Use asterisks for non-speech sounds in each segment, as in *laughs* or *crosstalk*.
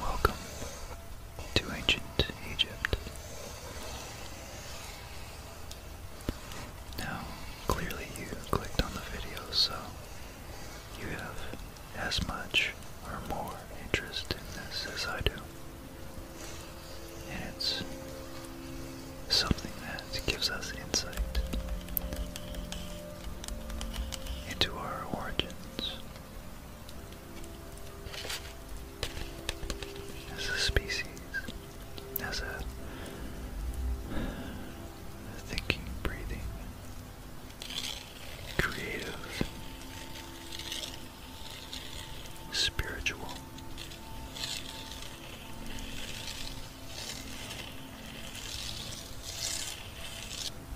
Welcome to ancient Egypt. Now, clearly you clicked on the video, so you have as much or more interest in this as I do. And it's something that gives us insight into our origins as a species, as a thinking, breathing, creative spiritual.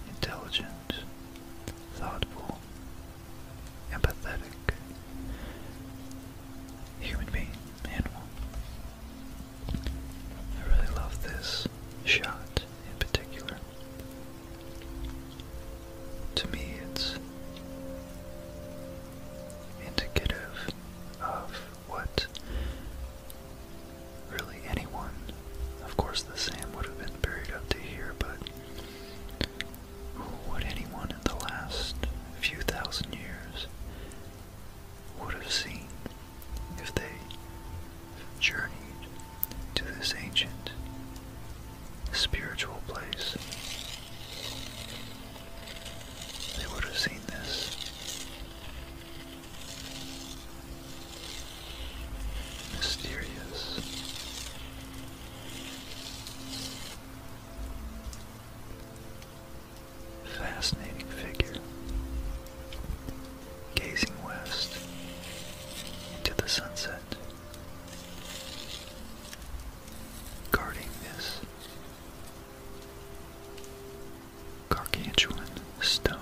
Intelligent, thoughtful, empathetic human being, animal. I really love this shot in particular. To me, it's indicative of what really anyone, of course, the same would have been buried up to here, but what anyone in the last few thousand years would have seen if they journeyed to this ancient spiritual place. They would have seen this. Mysterious. Fascinating figure gazing west into the sunset. Guarding this gargantuan stone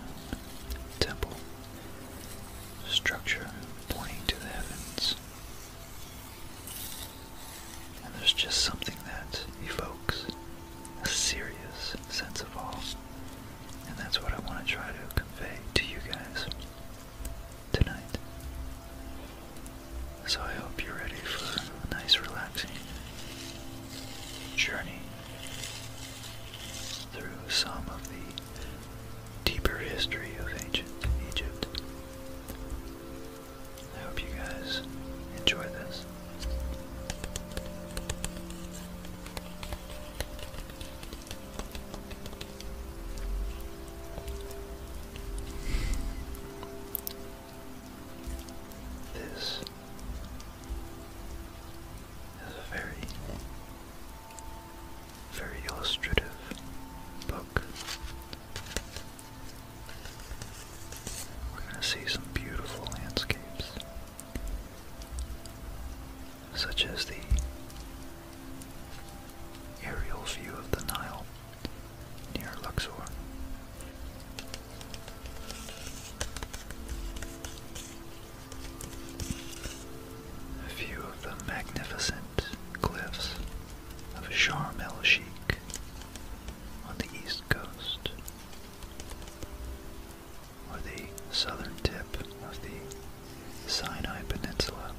temple structure pointing to the heavens. And there's just something that evokes a serious sense of awe. And that's what I want to try to convey to you guys tonight. So I hope you're ready for a nice, relaxing journey through some of the deeper history of ancient Egypt. I hope you guys enjoy this. This is a very, very illustrative book. We're going to see some beautiful landscapes, such as the Aerial view of the Nile near Luxor. view of the magnificent cliffs of Sharm el Sheikh on the east coast, or the southern tip of the Sinai Peninsula,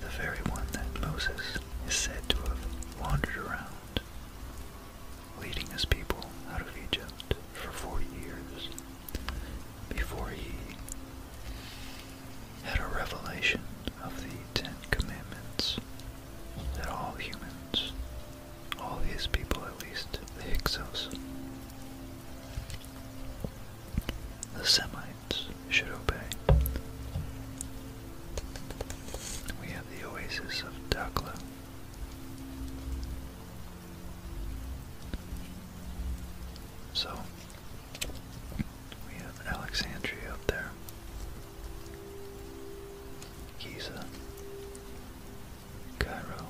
the very one that Moses is said to have wandered around, leading his people out of Egypt for 40 years before he had a revelation of the Ten Commandments that all humans, all his people at least, the Hyksos, the semi should obey. We have the oasis of Dakla. So, we have Alexandria up there, Giza, Cairo,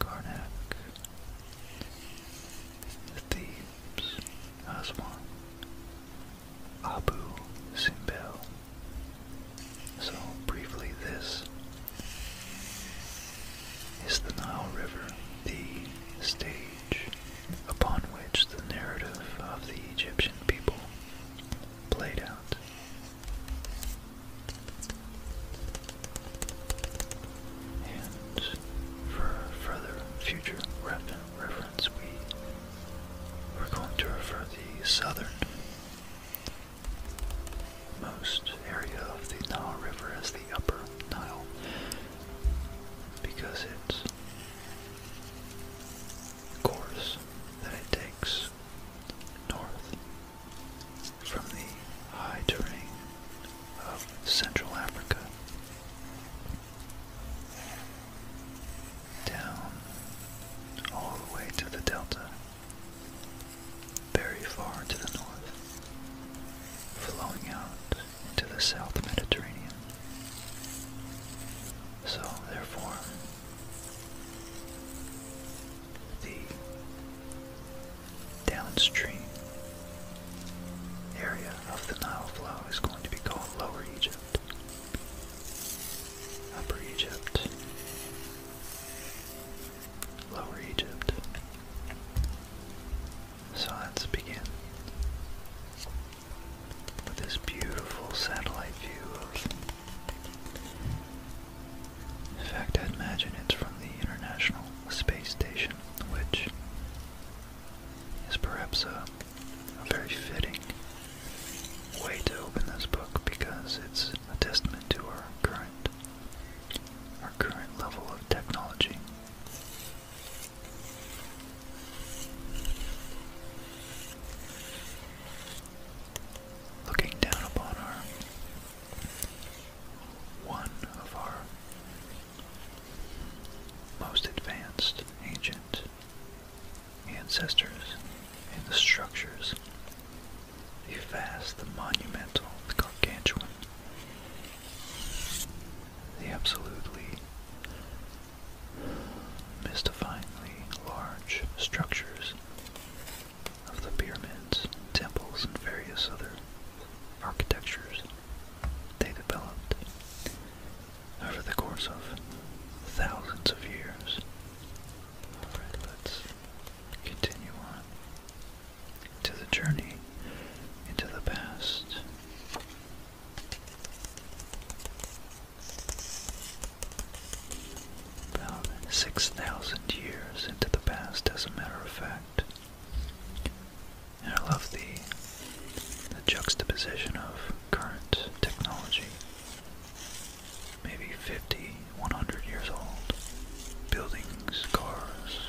Karnak, Thebes, Aswan, Abu Simbel. So, briefly, this is the Nile River, the stage upon which the narrative of the Egyptian people played out. And for further future reference, we, are going to refer the southern most area of the Nile River as the Upper Nile because it's course that it takes north from the high terrain of Central Africa down all the way to the delta, very far to the north, flowing out into the South Mediterranean. So, therefore, the downstream area of the Nile flow is going to be called Lower Egypt. Upper Egypt. Lower Egypt. So let's begin with this beautiful satellite view of. In fact, I imagine it's from the International Space Station which is perhaps a, very fitting way to open this book because it's a testament to our current our current level of technology. Looking down upon our one of our most advanced ancient ancestors and the structures, the vast, the monumental, the gargantuan, the absolutely mystifyingly large structures of the pyramids, temples, and various other architectures they developed over the course of thousands of years. Alright, let's continue on to the journey into the past. About 6,000 years into the past, as a matter of fact. And I love the, the juxtaposition of current technology, maybe 50, 100 years old, buildings, cars,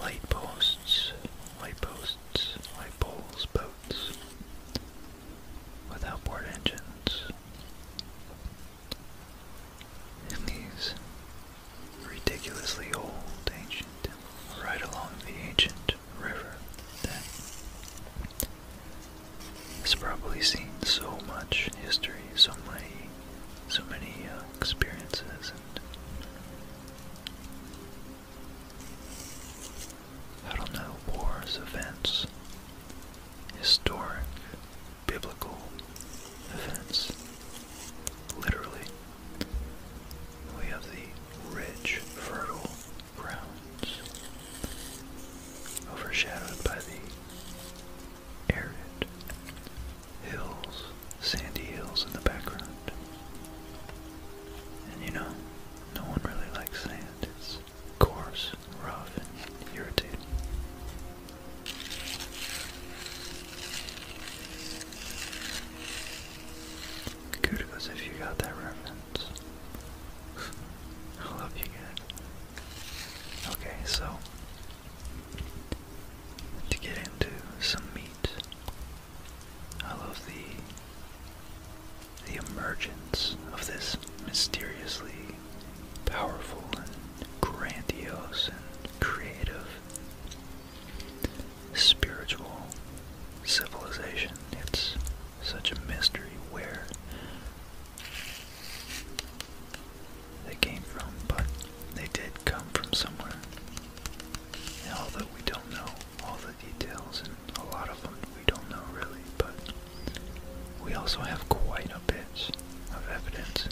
light posts, light posts, light poles, boats, without board engines, and these ridiculously old ancient, right along the ancient river that has probably seen so much history, so many, so many uh, experiences and I don't know, wars, events, historic biblical events. Literally, we have the rich, fertile grounds overshadowed by the arid hills, sandy hills in the background. And you know, no one really likes sand. It's coarse, rough, and irritating. Kudos if you got that reference. I love you guys. Okay, so to get into some meat, I love the the emergence of this mysteriously powerful grandiose and creative spiritual civilization. It's such a mystery where they came from, but they did come from somewhere. although we don't know all the details, and a lot of them we don't know really, but we also have quite a bit of evidence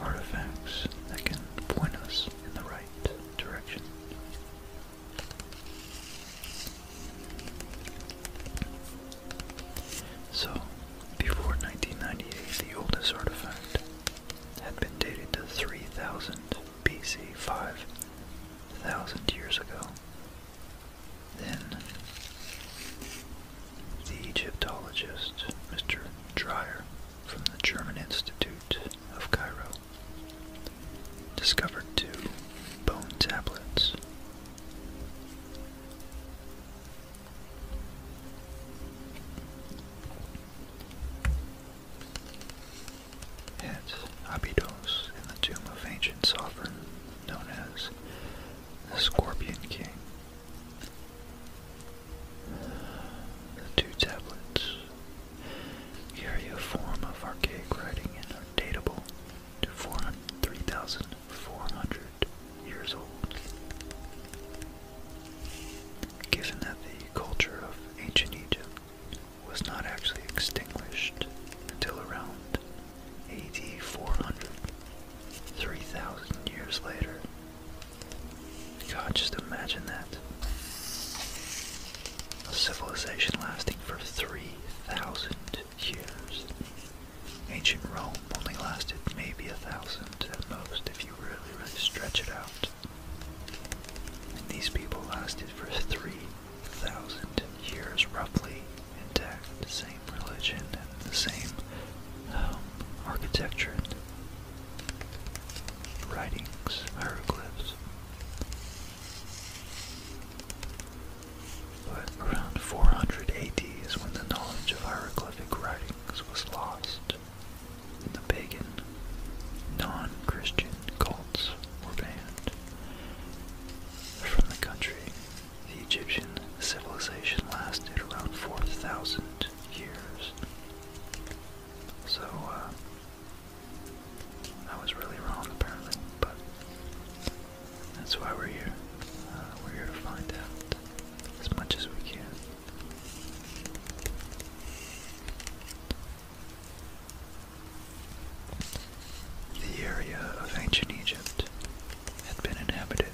artifacts that can point us in the right direction. So, before 1990, the oldest artifact had been dated to 3000 BC, 5,000 years ago. Then, the Egyptologist Mr. Dreyer from the German Institute of Cairo discovered two bone tablets. At Abydos, in the tomb of ancient sovereign known as the Scorpion King, the two tablets carry a form of archaic writing and are datable to 3,400 years old. Given that the culture of ancient Egypt was not actually extinguished until around AD 400, 3,000 years later, God, just imagine that. A civilization lasting for 3,000 years. Ancient Rome only lasted maybe a thousand at most if you really, really stretch it out. And these people lasted for 3,000 years, roughly intact, religion and the same um, architecture and writings, hieroglyphs. But around 400 AD is when the knowledge of hieroglyphic writings was lost, and the pagan, non Christian cults were banned from the country the Egyptian civilization lasted around 4,000 years. So, uh, I was really wrong apparently, but that's why we're here. Uh, we're here to find out as much as we can. The area of ancient Egypt had been inhabited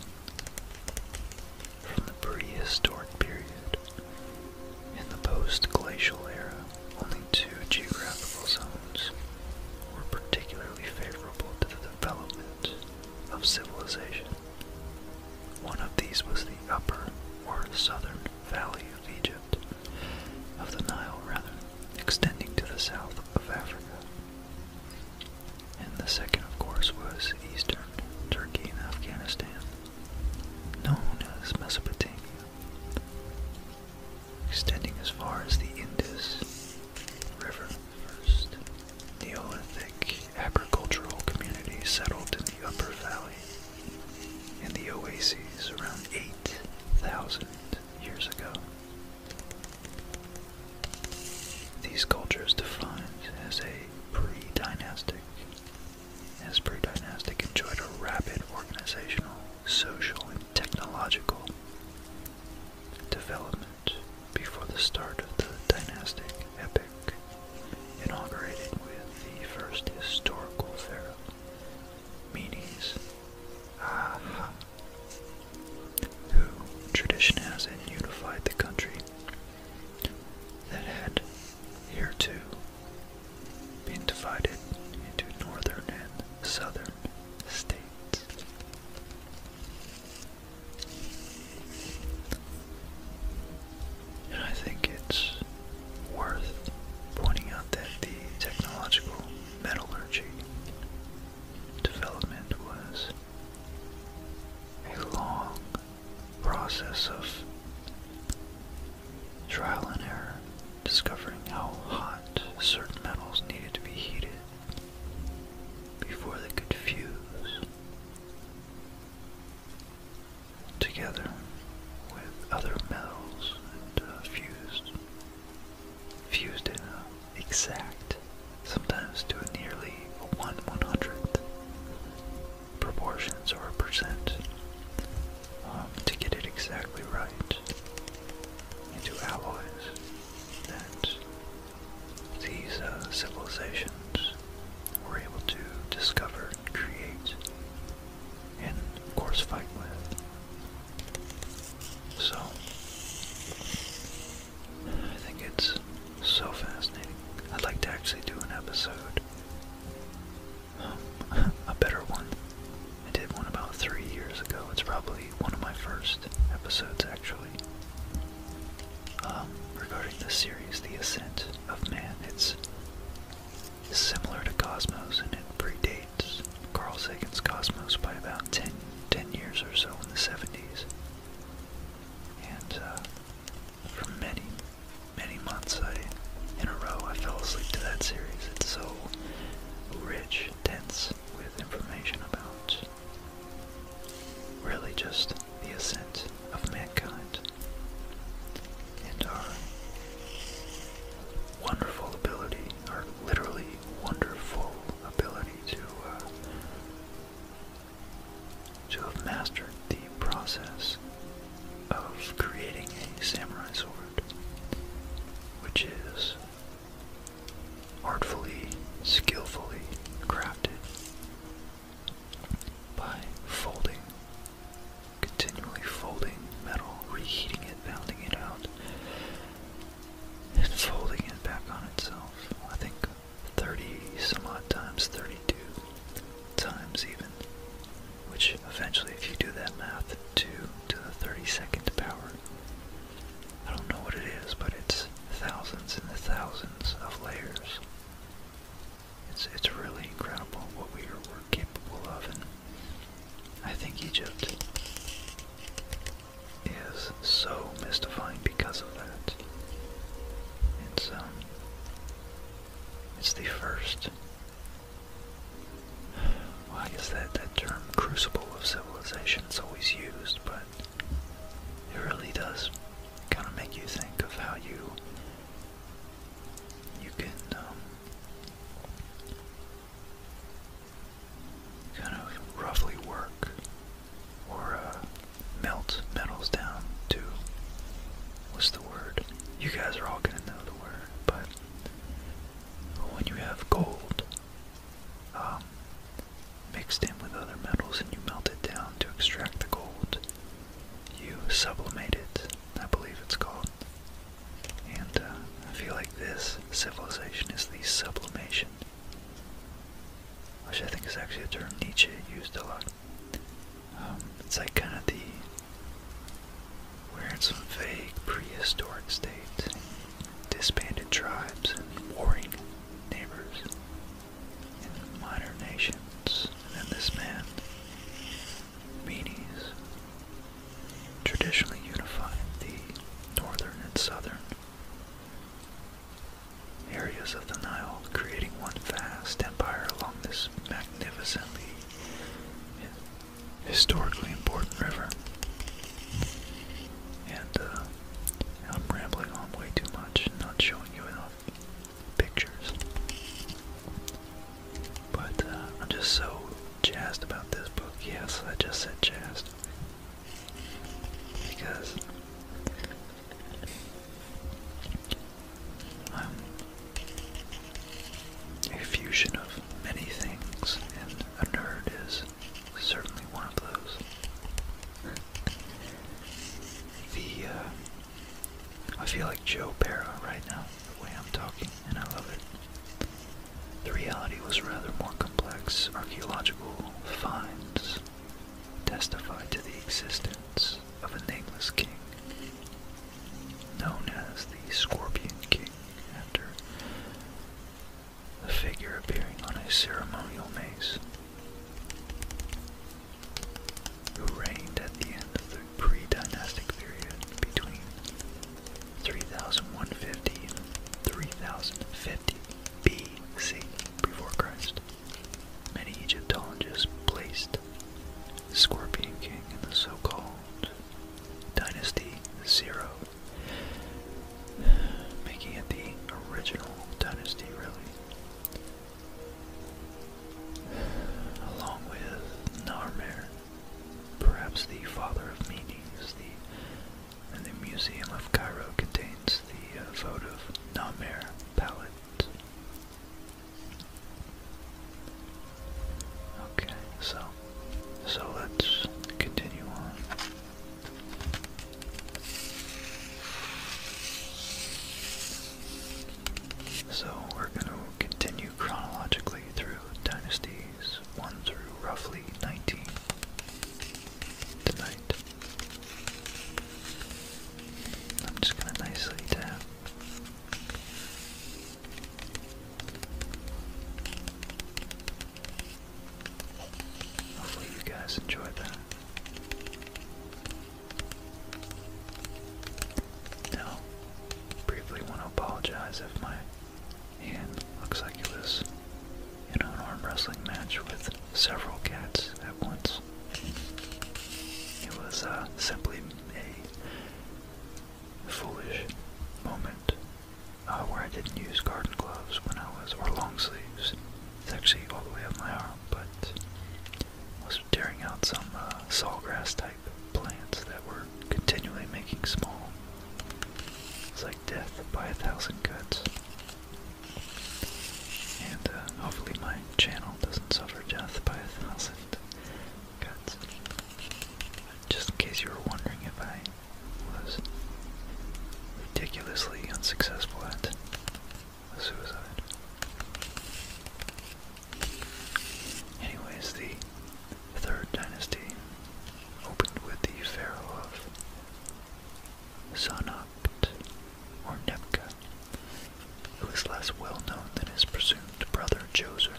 from the prehistoric period. In the post-glacial era, only two geographical zones were particularly favorable to the development of civilization. One of these was the upper or southern valley of Egypt, of the Nile rather, extending to the south of Africa. And the second, of course, was eastern Turkey and Afghanistan, known as Mesopotamia, extending as far as the Indus River first. Neolithic agricultural communities settled in the upper valley and the oases around 8,000 years ago. These cultures defined as a pre-dynastic as pre-dynastic enjoyed a rapid organizational, social, and technological development before the start of the dynastic epoch, inaugurated with the first historical pharaoh, Menes who tradition has unified the country that had hereto been divided into northern and southern states. And I think it's worth pointing out that the technological metallurgy development was a long process of trial and error, discovering how hot certain metals needed to be heated before they could fuse together with other metals and uh, fused fused in an exact sometimes to a nearly 1 100th proportions or percent um, to get it exactly right into alloys that these uh, civilizations were able to discover and create and of course fight with. So I think it's so fascinating. I'd like to actually do an episode. Um, *laughs* a better one. I did one about three years ago. It's probably one of my first episodes, actually. Um, regarding the series, The Ascent of Man, it's similar to Cosmos and it predates Carl Sagan's Cosmos by about 10, 10 years or so in the 70s and uh, for many, many months I, in a row, I fell asleep to that series. It's so rich, dense with information about really just the ascent of mankind and our wonderful ability, our literally wonderful ability to uh, to have mastered the process of creating a samurai sword, which is artfully, skillfully crafted by folding, continually folding metal, reheating it, pounding it out, and folding it back on itself. I think 30 some odd times, 32 times even, which eventually, if you do that math, 2 to the 32nd power. I don't know what it is, but it's thousands and thousands of layers. It's, it's really incredible what we were capable of, and I think Egypt is so mystifying because of that. It's um it's the first Why is that, that term crucible of civilization is always used, but it really does kind of make you think of how you you can um, kind of roughly work or uh, melt metals down to what's the word? You guys are all gonna know the word, but when you have gold um, mixed in with other metals and you melt it down to extract the gold, you sublimate it. I believe it's called. And uh, I feel like this civilization is the sublimation which I think is actually a term Nietzsche used a lot. Um, it's like kind of the we're in some vague prehistoric state, disbanded tribes and warring neighbors, minor nations, and then this man, Menes, traditionally unified the northern and southern areas of the Nile, creating one vast empire along this magnificently historically important river. And uh, I'm rambling on way too much, not showing you enough pictures. But uh, I'm just so jazzed about this book. Yes, I just said jazzed. Because um, a fusion of many things, and a nerd is certainly one of those. The, uh, I feel like Joe Para right now, the way I'm talking, and I love it. The reality was rather more complex. Archaeological finds testify to the existence of a nameless king, known as the Scorpion King, after the figure appearing on a ceremonial mace, who reigned at the end of the pre-dynastic period between 3150 3050 BC before Christ. Many Egyptologists placed Scorpion King in the so-called Dynasty Zero, making it the original dynasty, really. Along with Narmer, perhaps the father of Medes, and the Museum of Cairo contains the uh, votive Namir palette. Okay, so so let's continue on. So we're going to continue chronologically through dynasties 1 through roughly 19 tonight. I'm just going to nicely tap. Hopefully, you guys enjoyed that. Now, briefly want to apologize if my hand looks like it was in an arm wrestling match with several cats at once. It was uh, simply a foolish moment uh, where I didn't use garden gloves when I was, or long sleeves. It's actually all the way up my arm, but I was tearing out some uh, sawgrass type plants that were continually making small. It's like death by a thousand cuts. And uh, hopefully my channel doesn't suffer death by a thousand cuts. Just in case you were wondering if I was ridiculously unsuccessful at suicide. Anyways, the Third Dynasty opened with the Pharaoh Sanapt, or Nebka, who is less well known than his presumed brother Djoser,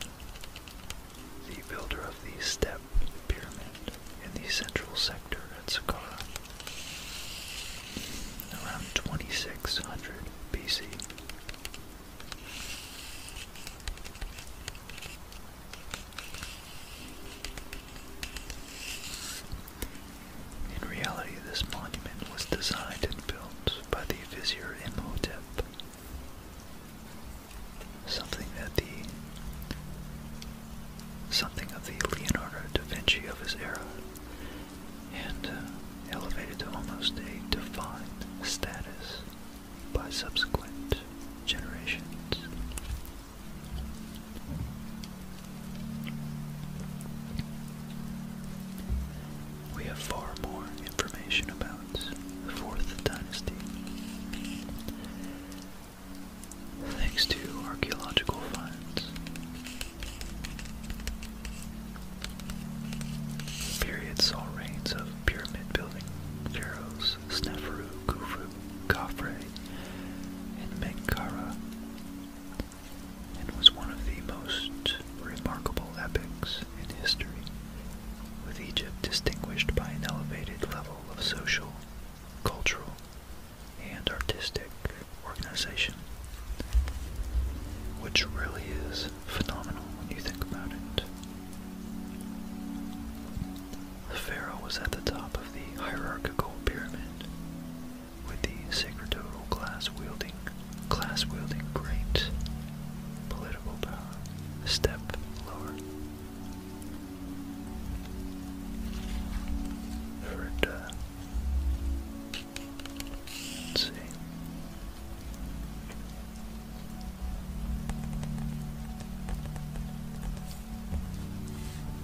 the builder of the step pyramid in the central sector at Saqqara. Around 2600 BC. In reality, this monument was designed and built by the vizier Imhotep, something that the something of the Leonardo da Vinci of his era, and uh, elevated to almost a defined status by subsequent generations. We have far more information about the Fourth Dynasty. Thanks to archaeological finds. The Period saw reigns of pyramid building pharaohs Sneferu, Khufu, Khafre, and Menkaura and was one of the most remarkable epochs in history, with Egypt distinguished by an elevated level of social, cultural, and artistic organization, which really is phenomenal when you think about it. The Pharaoh was at the top of the hierarchical pyramid, with the sacerdotal class wielding class wielding great political power. step lower. Heard, uh, let's see.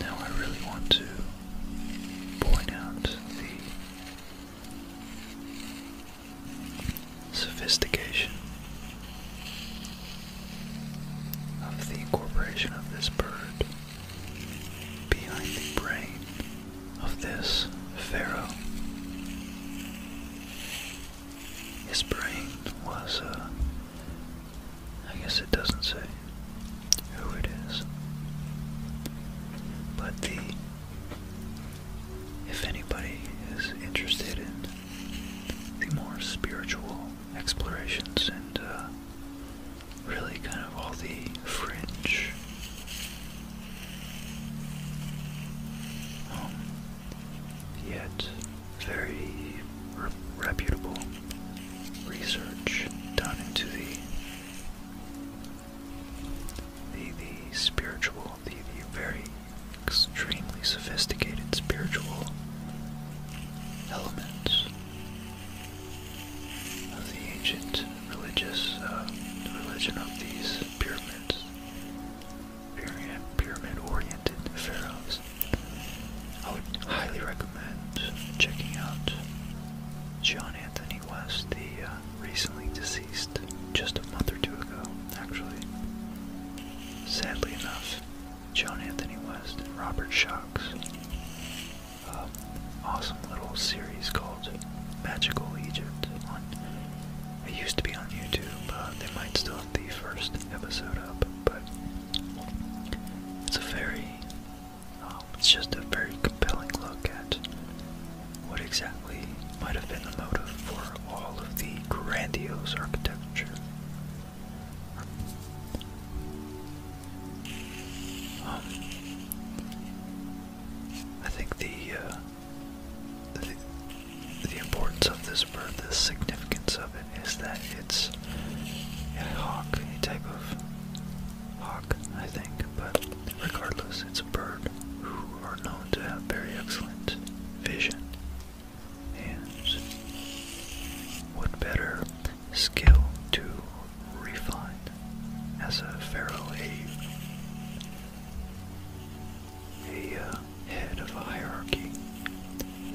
Now I really want to point out the sophistication of the incorporation of this bird behind the brain of this pharaoh. His brain was, uh, I guess it doesn't say who it is, but the, if anybody is interested in the more spiritual explorations and uh, really kind of all the fringe um, yet, very reputable research done into the the the spiritual, the very extremely sophisticated spiritual elements of the ancient religious, uh, religion of these pyramids, pyramid-oriented pharaohs. I would highly recommend checking out John Anthony West, the uh, recently deceased, just a month or two ago, actually. Sadly enough, John Anthony West and Robert Shocks. Uh, awesome little series called Magical Egypt It used to be on YouTube. Uh, they might still have the first episode up, but it's a very. Um, it's just a very compelling look at what exactly might have been the motive for all of the grandiose architecture. Um, I think the uh, the, importance of this bird, the significance of it, is that it's a hawk, a type of hawk, I think. But regardless, it's a bird who are known to have very excellent vision. And what better skill to refine as a feral a a uh, head of a hierarchy,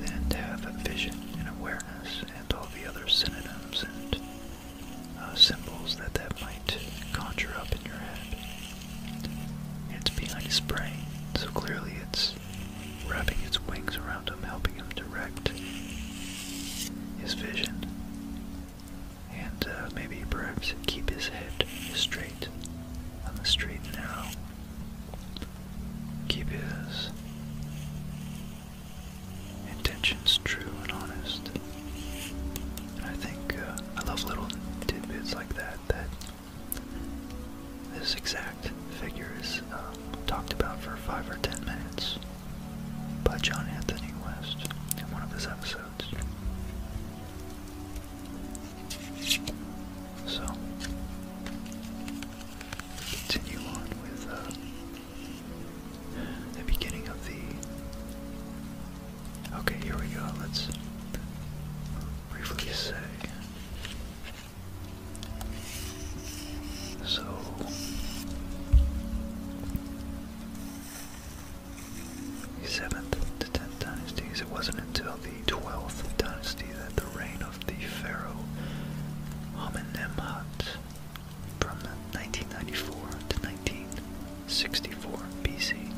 and have a vision and awareness and all the other synonyms and uh, symbols that that might conjure up in your head. It's behind his brain, so clearly it's wrapping its wings around him, helping him direct his vision and uh, maybe perhaps keep his head straight on the street now. Keep his intentions true and honest. And I think uh, I love little tidbits like that. That this exact figure is uh, talked about for five or ten minutes by John Anthony West in one of his episodes. So, continue on with uh, the beginning of the. Okay, here we go. Let's briefly say. So, 7th to 10th dynasties. It wasn't until the 12th dynasty that the reign of the pharaoh Amenemhat from 1994 to 1964 BC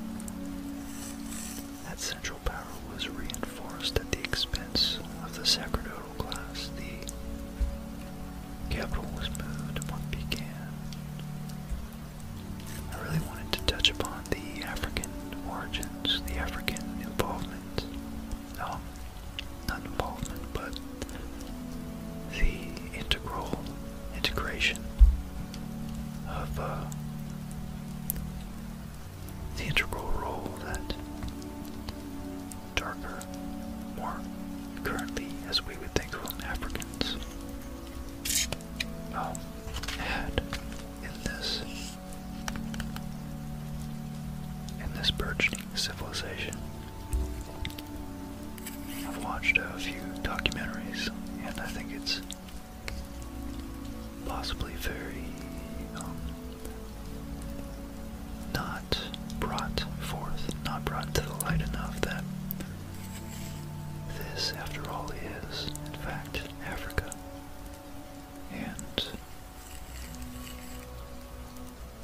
that central power was reinforced at the expense of the sacerdotal class. The capital was moved and what began I really wanted to touch upon the African origins, the African involvement. No, not involvement, but the integral integration of uh, the integral role that darker, more currently, as we would think of Africans had in this in this burgeoning civilization. I've watched a few documentaries, and I think it's possibly very um, not brought forth, not brought to the light enough that this, after all, is, in fact, Africa. And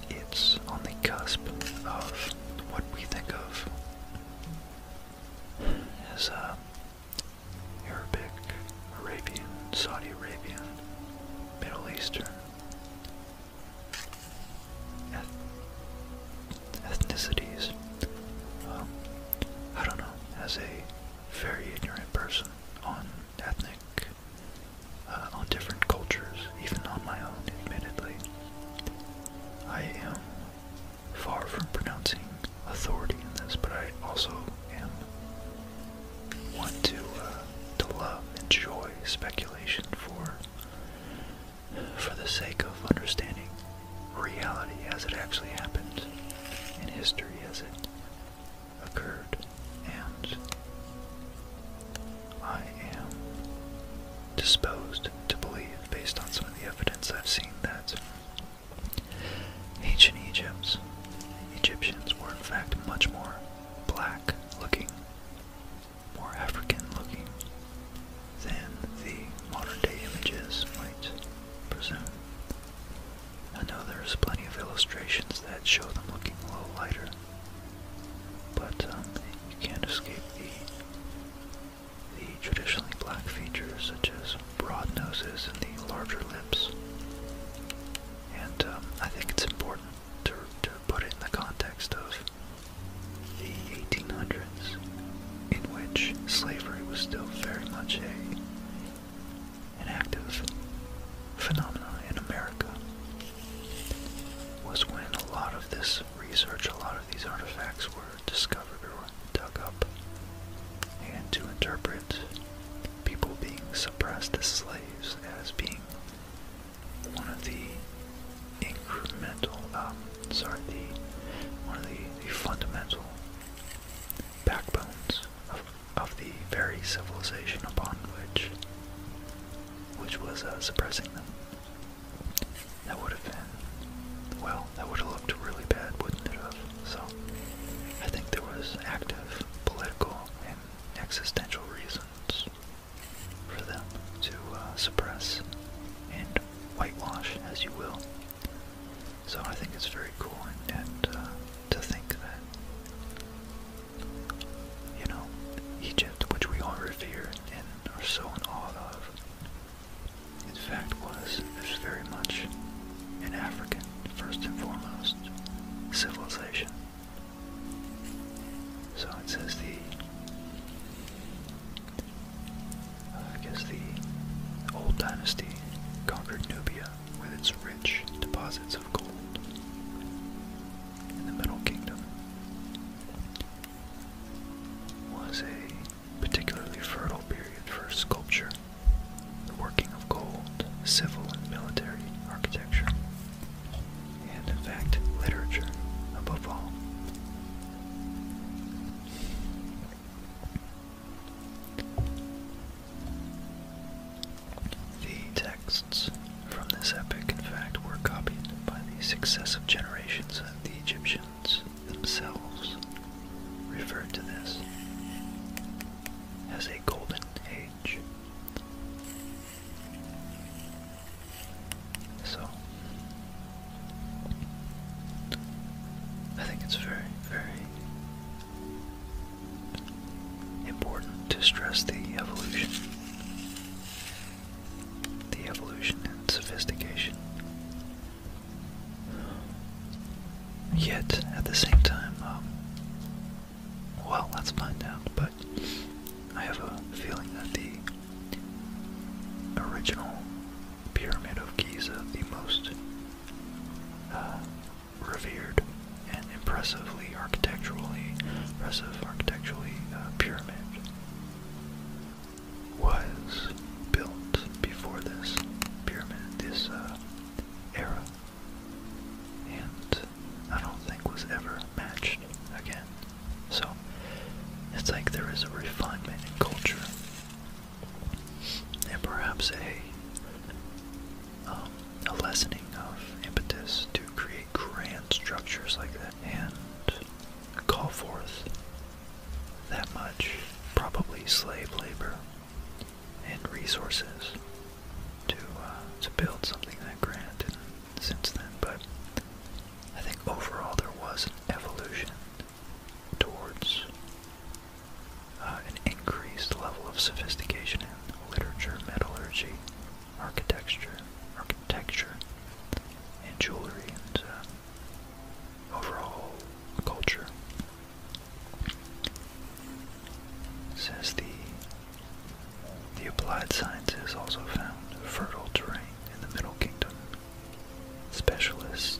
it's on the cusp of what we think of as uh, Arabic, Arabian, Saudi Arabian, Middle Eastern ethnicities. Um, I don't know, as a very ignorant person on ethnic, uh, on different cultures, even on my own, admittedly, I am far from pronouncing authority in this, but I also am want to uh, to love, enjoy speculation for for the sake of understanding reality as it actually happened in history as it occurred. And I am disposed to believe, based on some of the evidence I've seen, that ancient Egypt, Egyptians were in fact much more black looking, more African looking than the modern-day images might presume. I know there's plenty of illustrations that show them looking a little lighter, but um, you can't escape the, the traditionally black features such as broad noses and the larger lips. And um, I think it's important to, to put it in the context of the 1800s, in which slavery was still very much a, an active phenomenon in America, was when a lot of this research, a lot of these artifacts were discovered or dug up. And to interpret people being suppressed as slaves as being one of the incremental, um, sorry, the one of the, fundamental backbones of, of the very civilization upon which, which was uh, suppressing them. That would have been, well, that would have looked really bad, wouldn't it have? So, I think there was active political and existential reasons for them to uh, suppress and whitewash as you will. So I think it's very cool, and, and uh, to think that, you know, Egypt, which we all revere and are so in awe of, in fact was, very much an African, first and foremost, civilization. So it says the uh, I guess the old dynasty conquered Nubia with its rich deposits of gold. And the Middle Kingdom was a particularly fertile period for sculpture, the working of gold, civil and military architecture, and in fact, literature above all. The texts from this epic, in fact, were copied by the successive generations of the Egyptians themselves, referred to this as a golden age. So, I think it's very, very important to stress the evolution. The evolution and sophistication. Yet, at the same time, um, well, let's find out, but I have a feeling that the original Pyramid of Giza the most uh, revered and impressively architecturally impressive architecturally uh, pyramid was built before this pyramid, this uh, era, and I don't think was ever matched again. So it's like there is a refinement in culture and perhaps a, um, a lessening of impetus to create grand structures like that and call forth that much, probably slave labor and resources to uh, to build something that grand. since then, but I think overall there was an evolution towards uh, an increased level of sophistication in literature, metallurgy, architecture, architecture, and jewelry, and uh, overall culture. Says the the applied sciences also found fertile terrain in the Middle Kingdom specialist,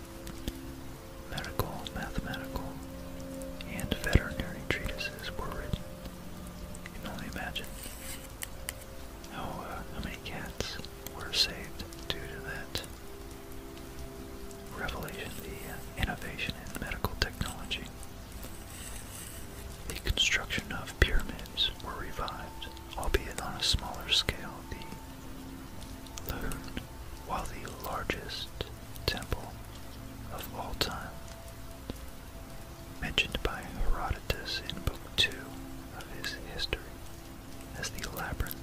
medical, mathematical, and veterinary treatises were written. You can only imagine how, uh, how many cats were saved due to that revelation, the uh, innovation in medical technology. The construction of pyramids were revived, albeit on a smaller scale. Lahut, while the largest temple of all time, mentioned by Herodotus in Book 2 of his history as the Labyrinth,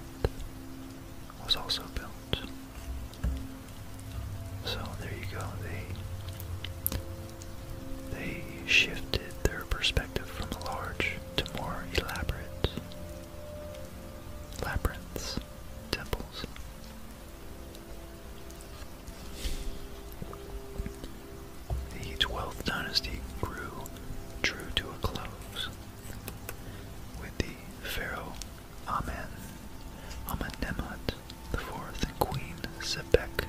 was also built. So there you go. They they shifted their perspective from large to more elaborate labyrinths, temples. The Twelfth Dynasty grew true to a close with the pharaoh Amen Amenemhat IV and Queen Sebek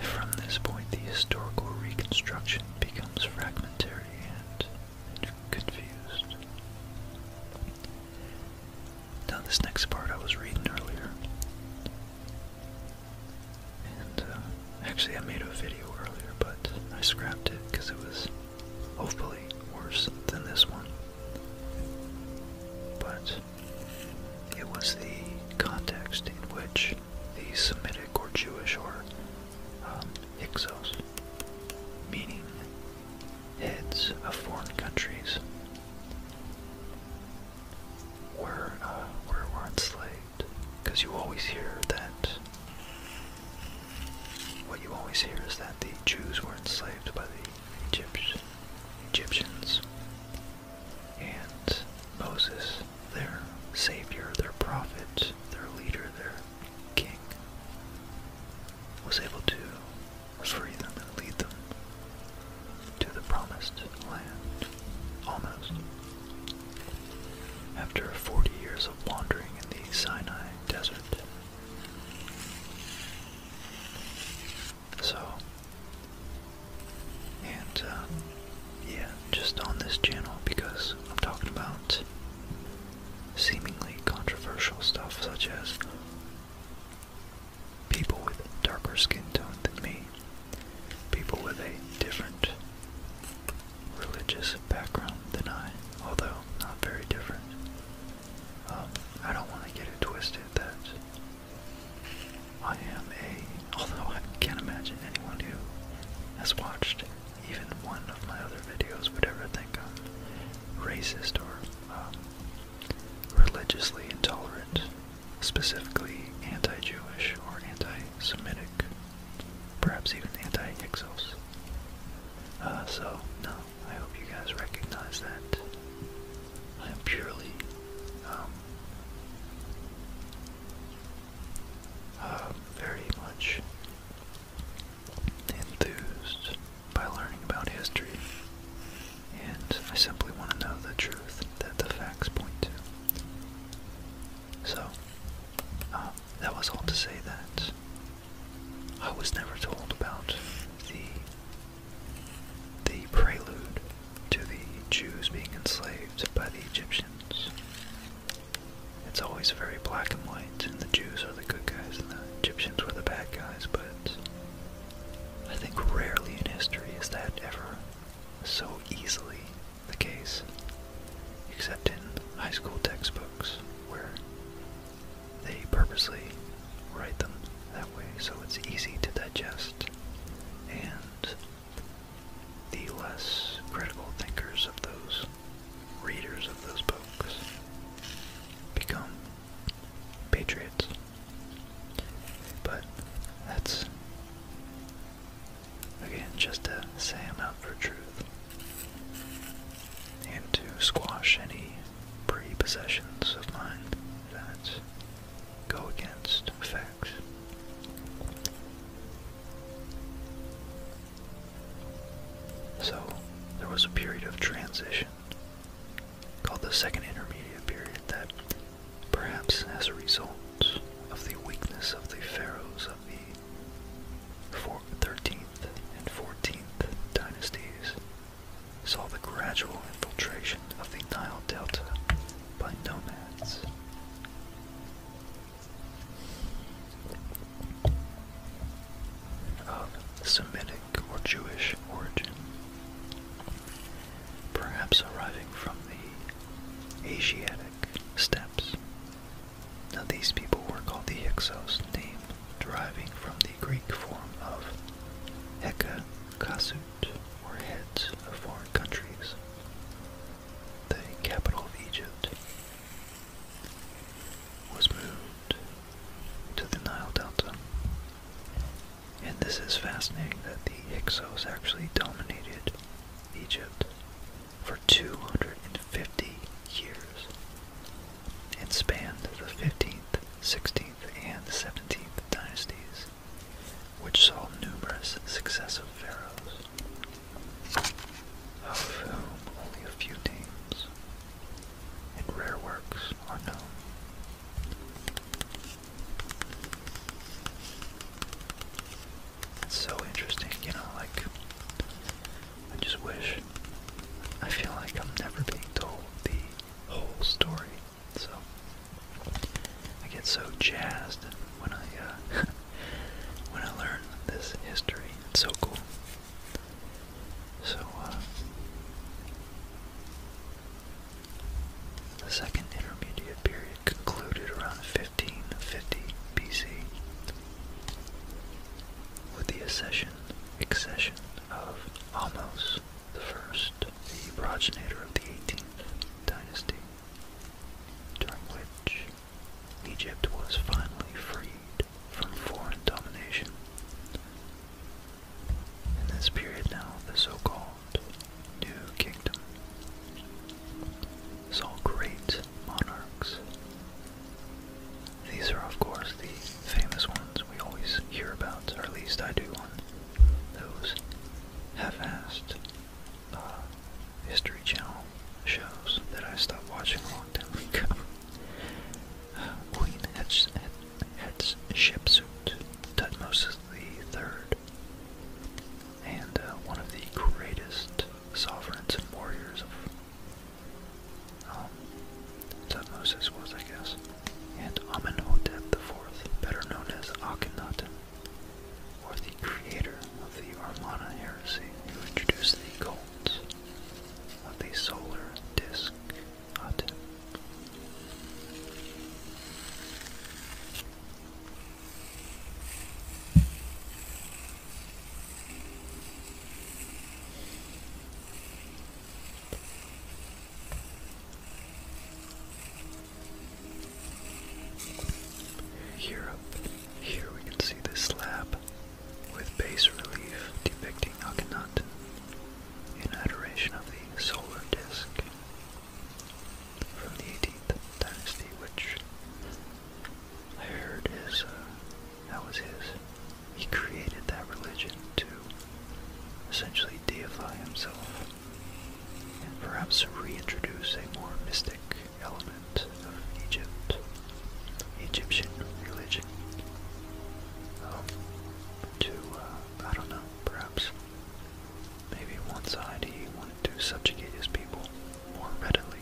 from this point, the historical reconstruction becomes fragmentary and confused. Now, this next part I was reading earlier, and uh, actually, I made a video earlier, but I scrapped it because it was hopefully worse than this one. But it was the context in which the Semitic or Jewish or um, meaning heads of foreign countries, were, uh, were, enslaved. Because you always hear that, what you always hear is that the Jews were enslaved by the Egypt, Egyptians. And Moses, their savior, their prophet, their leader, their king, was able to free them and lead them to the promised land, almost. After 40 years of wandering in the Sinai desert. So, and uh, yeah, just on this channel because I'm talking about seemingly controversial stuff such as people with darker skin tone than me, people with a different religious background than I, although not very different. Um, I don't want to get it twisted that I am a Although I can't imagine anyone who has watched even one of my other videos would ever think I'm racist or um, religiously intolerant, specifically anti-Jewish or anti-Semitic, perhaps even anti-Hyksos. Uh, so, no, I hope you guys recognize that I am purely um, uh, very much enthused by learning about history, and I simply want to know the truth that the facts point to. So, uh, that was all to say that I was never told about the the prelude to the Jews being enslaved by the Egyptians. It's always very black and white, and the Jews are the good guys and the Egyptians were the bad guys, but I think rarely in history is that ever so easily the case, except in high school textbooks where they purposely write them that way so it's easy to digest and the less critical thinkers of those readers of those books become patriots. But that's, again, just to say I'm out for truth and to squash any prepossessions of mine that go against fact. So, there was a period of transition called the Second Intermediate Period that, perhaps as a result of the weakness of the pharaohs of the 13th and 14th dynasties, saw the gradual infiltration of the Nile Delta by nomads of Semitic or Jewish origin, perhaps arriving from the Asiatic steppes. Now, these people were called the Hyksos, name deriving from the Greek form of heka kasut, or heads of foreign countries the capital of Egypt, was moved to the Nile Delta. And this is fascinating that the Hyksos actually dominated Egypt for 250 years and spanned the 15th, 16th, and 17th dynasties, which saw numerous successive pharaohs of whom only a few names and rare works are oh known. It's so interesting, you know, like, I just wish, I feel like I'm never being told the whole story, so I get so jazzed when I uh, *laughs* when I learn this history. It's so cool. So uh, the second intermediate period concluded around 1550 BC with the accession accession of Amos the First, the progenitor of the 18th dynasty, during which Egypt was finally freed from foreign domination. In this period now, the so-called New Kingdom saw great monarchs. These are of course the famous ones we always hear about, or at least I do One, those half-assed uh, History Channel shows that I stopped watching a long time ago. *laughs* Uh, Queen Hatshepsut, Tutmosis III, and one of the greatest sovereigns and warriors of um, Tutmosis was, I guess, and Amenhotep IV, better known as Akhenaten or the creator of the Armana heresy, who introduced the cults of the solar disk Aten. Here up here we can see this slab with bas relief depicting Akhenaten in adoration of the solar disk from the 18th dynasty, which I heard is uh, that was his. He created that religion to essentially deify himself and perhaps reintroduce a more mystic element of Egypt, Egyptian religion. Um, to, uh, I don't know, perhaps maybe one side he wanted to subjugate his people more readily,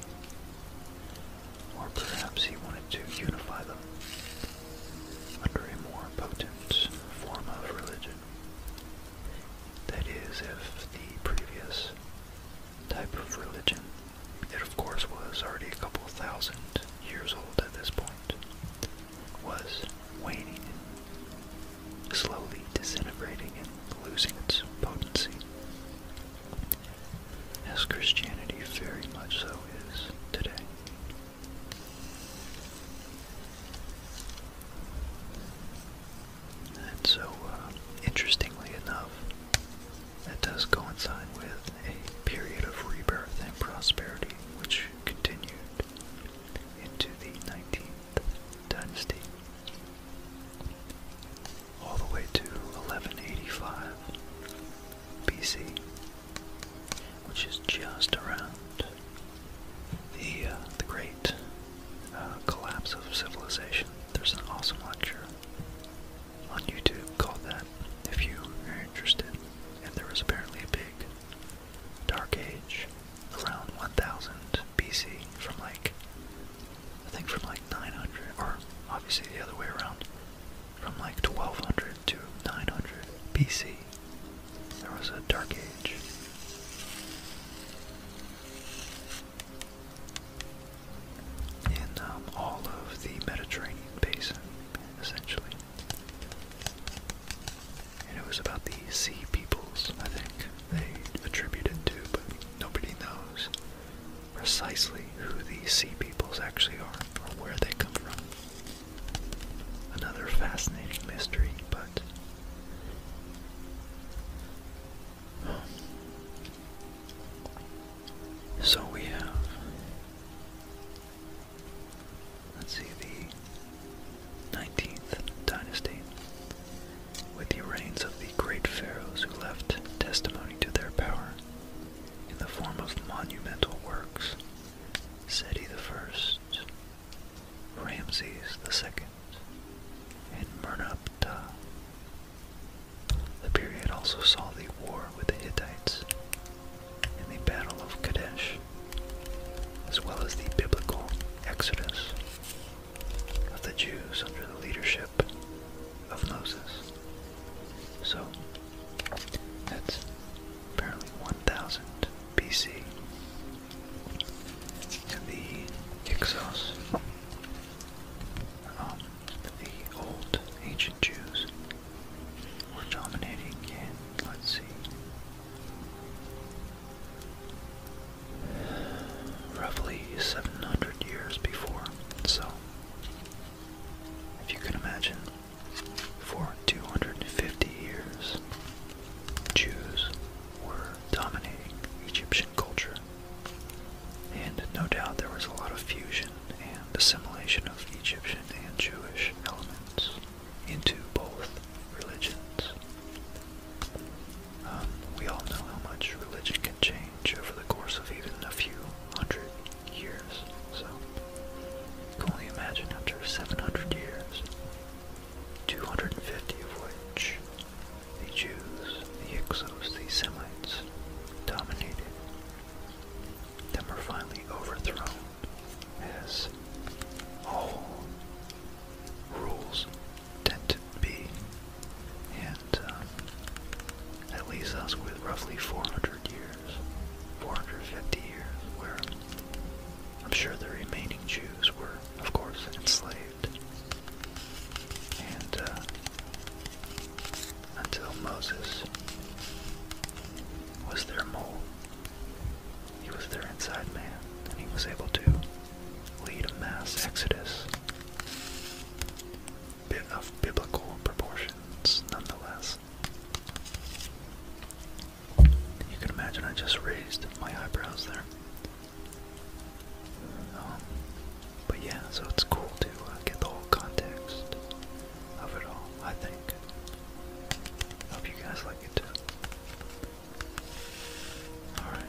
or perhaps he wanted to unify them under a more potent form of religion. That is, if the previous type of religion. It, of course, was already a couple thousand years old at this point, was waning slowly disintegrating and losing its potency. As Christianity very much so is today. And so, uh, interestingly enough, that does coincide with a period of rebirth and prosperity which continued into the 19th dynasty all the way to 1185 BC, which is just around the uh, the great uh, collapse of Civilization. There's an awesome lecture on YouTube called that if you are interested. And there was apparently a big dark age around 1000 BC from like, I think from like 900, or obviously the other way around, from like 1200 to 900 BC. There was a dark age in um, all of the Mediterranean basin, essentially. And it was about the sea peoples, I think, they attributed it to, but nobody knows precisely who these sea peoples actually are or where they come from. Another fascinating mystery, but so we have, let's see, the 19th dynasty, with the reigns of the great pharaohs who left testimony to their power in the form of monumental works. Seti I, Ramses II, in Merneptah. The period also saw the war with the Hittites in the Battle of Kadesh, as well as the biblical exodus of the Jews under the leadership of Moses. So, that's apparently 1000 BC. And the Hyksos um, the old ancient Jews were dominating in, let's see, roughly 700 years before. So, if you can imagine, for 250 years, Jews were dominating Egyptian culture. And no doubt there was a lot of fusion and assimilation of Egyptian and Jewish elements into both religions. Um, we all know how much religion can change over the course of even a few hundred years, so you can only imagine after 700 years, 250 of which the Jews, the Hyksos, the Semites dominated. Them were finally overthrown as all rules tend to be, and um, that leaves us with roughly 400 years, 450 years, where I'm sure the remaining Jews were, of course, enslaved and uh, until Moses was their mole, he was their inside man, and he was able to lead a mass exodus bit of biblical proportions nonetheless. You can imagine I just raised my eyebrows there but yeah, so it's cool to uh, get the whole context of it all, I think. Hope you guys like it too. Alright.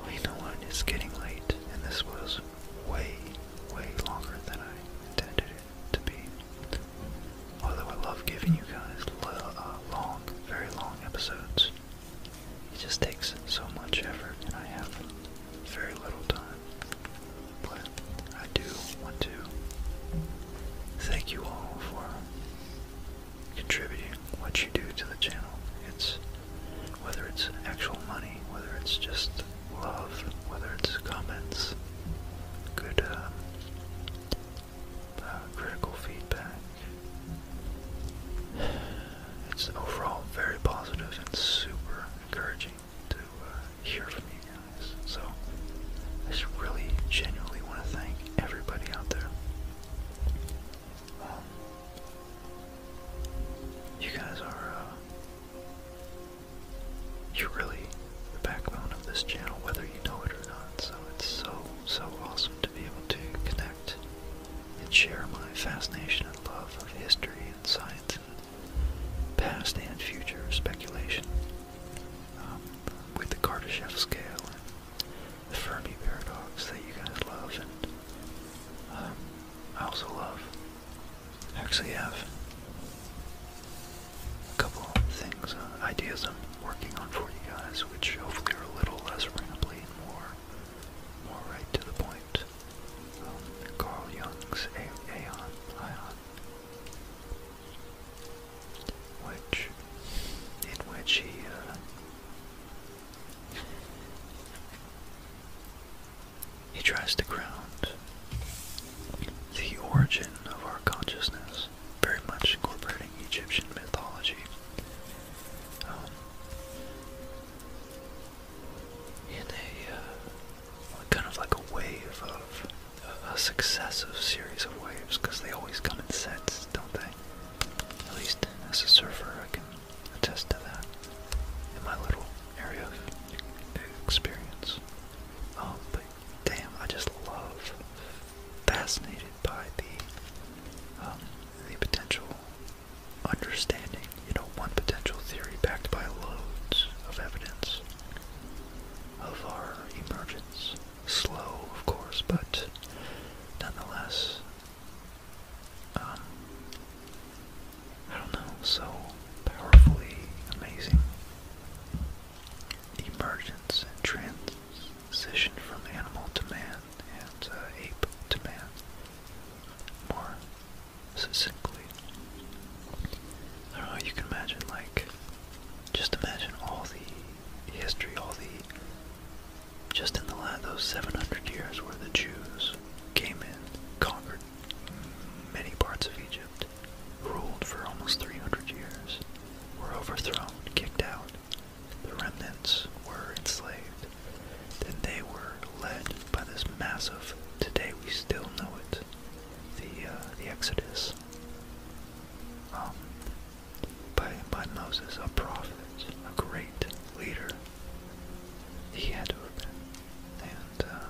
Well, know what? It's getting late, and this was way, way longer than I intended it to be. Although I love giving you guys uh, long, very long episodes. It just takes so much effort, and I have very little time. But I do want to thank you all for contributing what you do to the channel. It's whether it's actual money, whether it's just love, whether it's comments, good uh, uh, critical feedback, it's overall very positive and super encouraging to uh, hear from you guys. So I just really genuinely want to thank everybody out there. Um, you guys are, uh, you're really the backbone of this channel, whether you know it or not. So it's so, so awesome to be able to connect and share my fascination and love of history and science and past and future speculation um, with the Kardashev scale and the Fermi paradox that you guys love and um, I also love. I actually have a couple of things, uh, ideas I'm working on for you guys, which hopefully are a little less rambly and more more right to the point. Um, Carl Jung's A Ion, in which he, uh, he tries to ground the origin of our consciousness, very much incorporating Egyptian mythology um, in a uh, kind of like a wave of a, successive series of waves they always come in sets, don't they? At least as a surfer, I can attest to that in my little area of experience. Um, damn, I just love fascinated by the um, the potential understanding, you know, one potential theory backed by loads of evidence of our emergence. Slow, of course, but nonetheless, um, I don't know, so powerfully amazing. Emergence and trans Position from animal to man and uh, ape to man. More succinctly. I don't know, you can imagine, like, just imagine all the history, all the. Just in the last, those 700 years where the Jews came in, conquered many parts of Egypt, ruled for almost 300 years, were overthrown, kicked out, the remnants were enslaved. Then they were led by this massive, today we still know it, the, uh, the Exodus. Um, by, by Moses, a prophet, a great leader. He had to have been. And uh,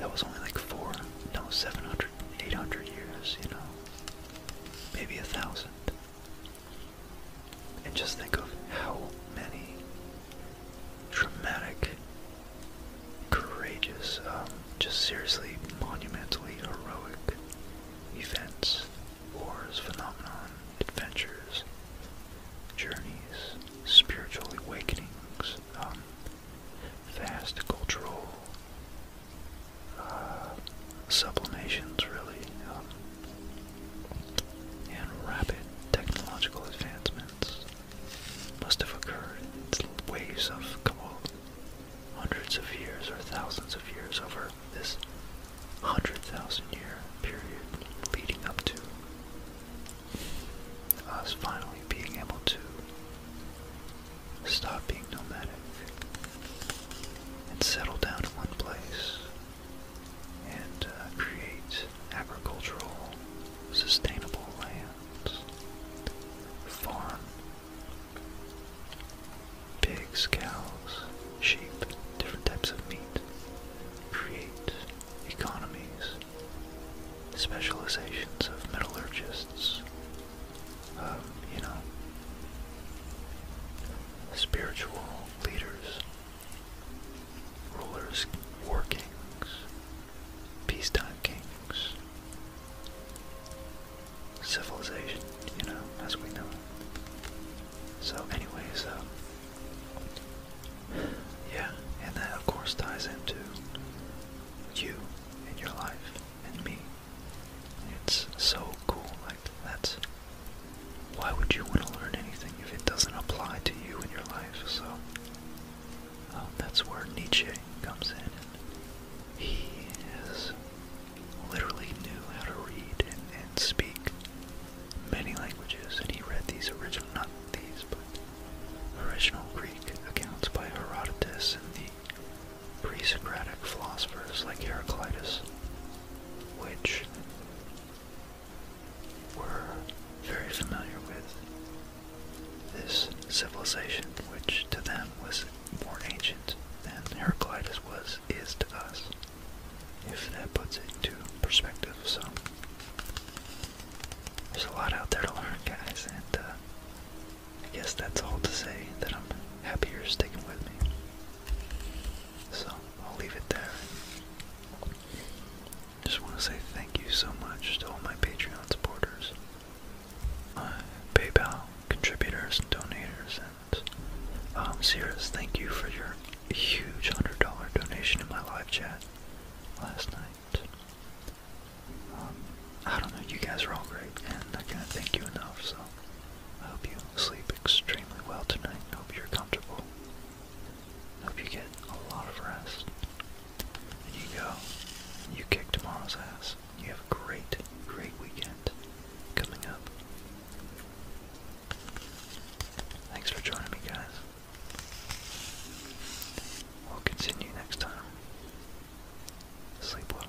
that was only like four, no, 700, 800 years, you know, maybe a thousand. And just think of how many dramatic, courageous, um, just seriously monumentally heroic events, wars, phenomenon, adventures, journeys, spiritual awakenings, um, vast cultural uh, sublimations, really. Um, and rapid technological advancements must have occurred in waves of a couple hundreds of years or thousands of years over this 100,000 year period leading up to us finally being able to stop being nomadic and settle down in one place and uh, create agricultural, sustainable lands, farm, pigs, cows, sheep, different types of meat, create economies, specializations of metallurgists, um, you know, spiritual leaders, rulers, war kings, peacetime kings, civilization, you know, as we know So, anyways, uh, yeah, and that of course ties into you and your life and me. It's so cool, like that why would you want to learn anything if it doesn't apply to you in your life? So um, that's where Nietzsche comes in. he literally knew how to read and, and speak many languages, and he read these original, not these, but original Greek accounts by Herodotus and the pre-Socratic philosophers like Heraclitus, which were very familiar with this civilization, which to them was more ancient than Heraclitus was is to us, if that puts it into perspective. So there's a lot out there to learn, guys, and uh, I guess that's all to say that I'm happy you're sticking with me. So I'll leave it there. Just want to say thank you so much to all my Patreon supporters, PayPal contributors and donors. and um, Cirrus, thank you for your huge $100 donation in my live chat last night. Um, I don't know, you guys are all great, and I can't thank you enough, so I hope you sleep extremely well tonight. Hope you're comfortable. Hope you get a lot of rest. And you go. You kick tomorrow's ass. You have a great, great weekend coming up. Thanks for joining me, guys. We'll continue next time. Sleep well.